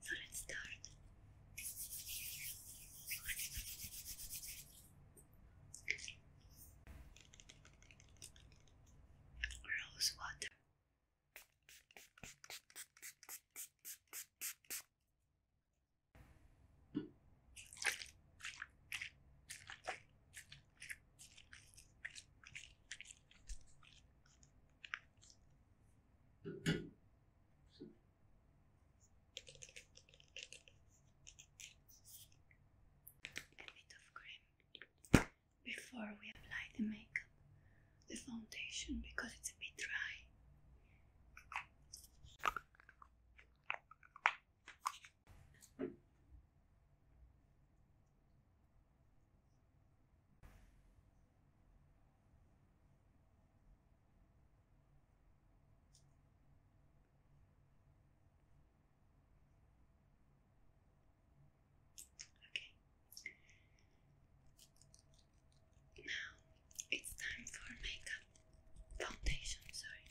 So let's start. Rose water. A bit of cream before we apply the makeup, the foundation, because it's a bit dry. Okay. Now it's time for makeup foundation, sorry.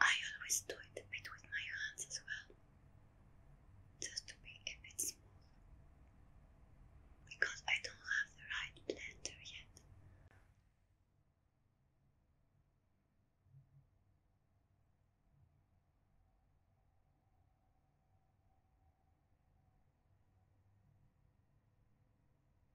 I always do it a bit with my hands as well, just to be a bit smooth, because I don't have the right blender yet.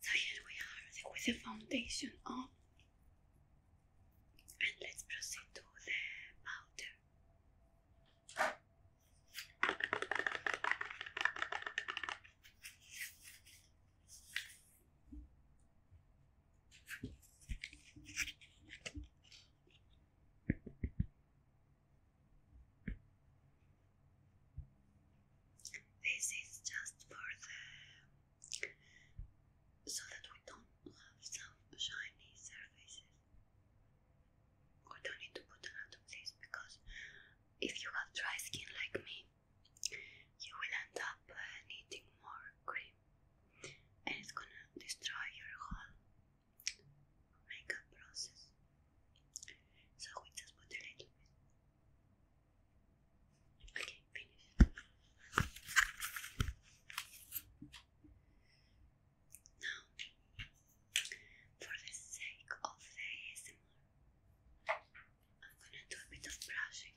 So here we are with the foundation on and let's proceed to the powder. This is just for the so that we don't have some shiny surfaces. We don't need to put a lot of this because if you have dry skin like me, you will end up uh, needing more cream and it's gonna destroy your whole makeup process. So we just put a little bit. Okay, finish. Now, for the sake of the ASMR, I'm gonna do a bit of brushing.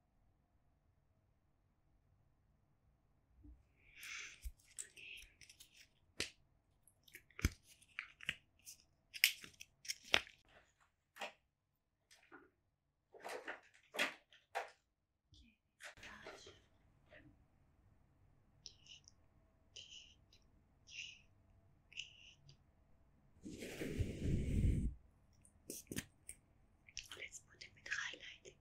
Okay. Let's put a bit highlighting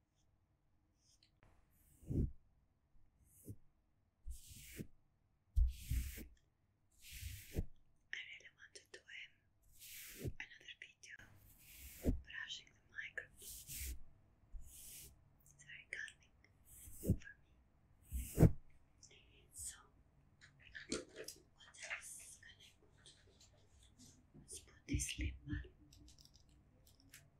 I really wanted to aim another video brushing the microphone. It's very calming for me. So, what else can I Let's put this lip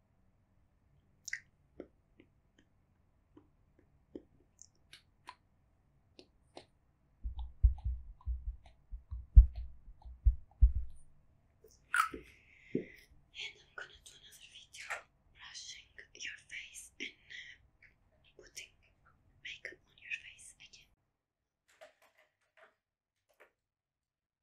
And I'm gonna do another video brushing your face and uh, putting makeup on your face again.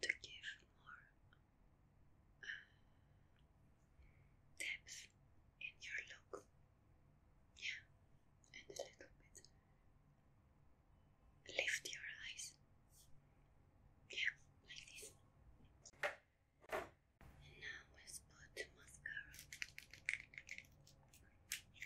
to give more uh, depth in your look. Yeah, and a little bit lift your eyes. Yeah, like this. And now let's put mascara.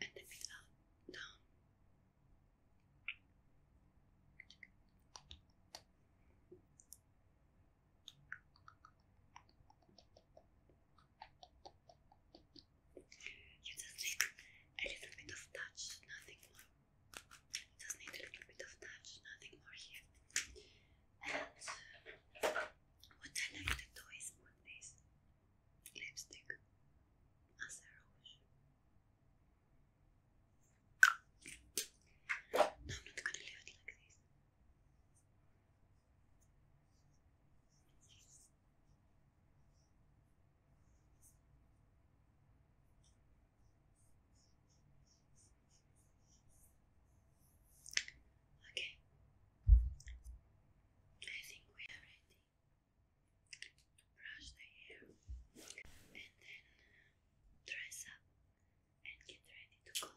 And if you don't know, you a little bit of touch, nothing more. Just need a little bit of touch, nothing more here. And uh, what I like to do is put this lipstick as a rouge. No, I'm not gonna leave it like this. Okay, I think we are ready brush the hair and then uh, dress up and get ready to go out.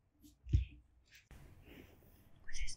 With his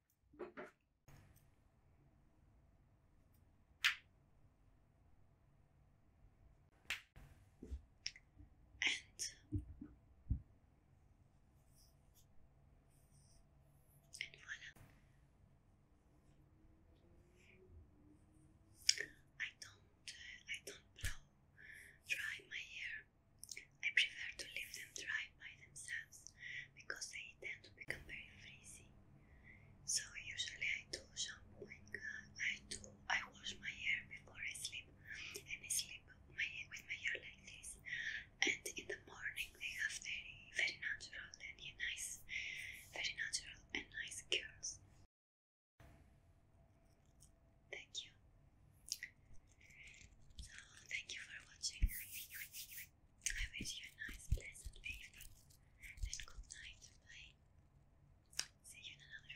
And, and voila. I don't, uh, I don't blow dry my hair I prefer to leave them dry by themselves because they tend to become very frizzy. So usually I do shampooing, I do I wash my hair before I sleep and I sleep with my, hair like this and in the morning they have very very natural and nice very natural and nice curls. Thank you. So, thank you for watching. I wish you a nice, pleasant evening good night. Bye. See you in another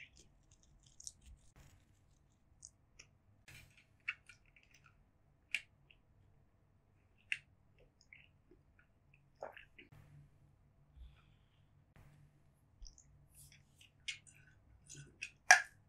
video.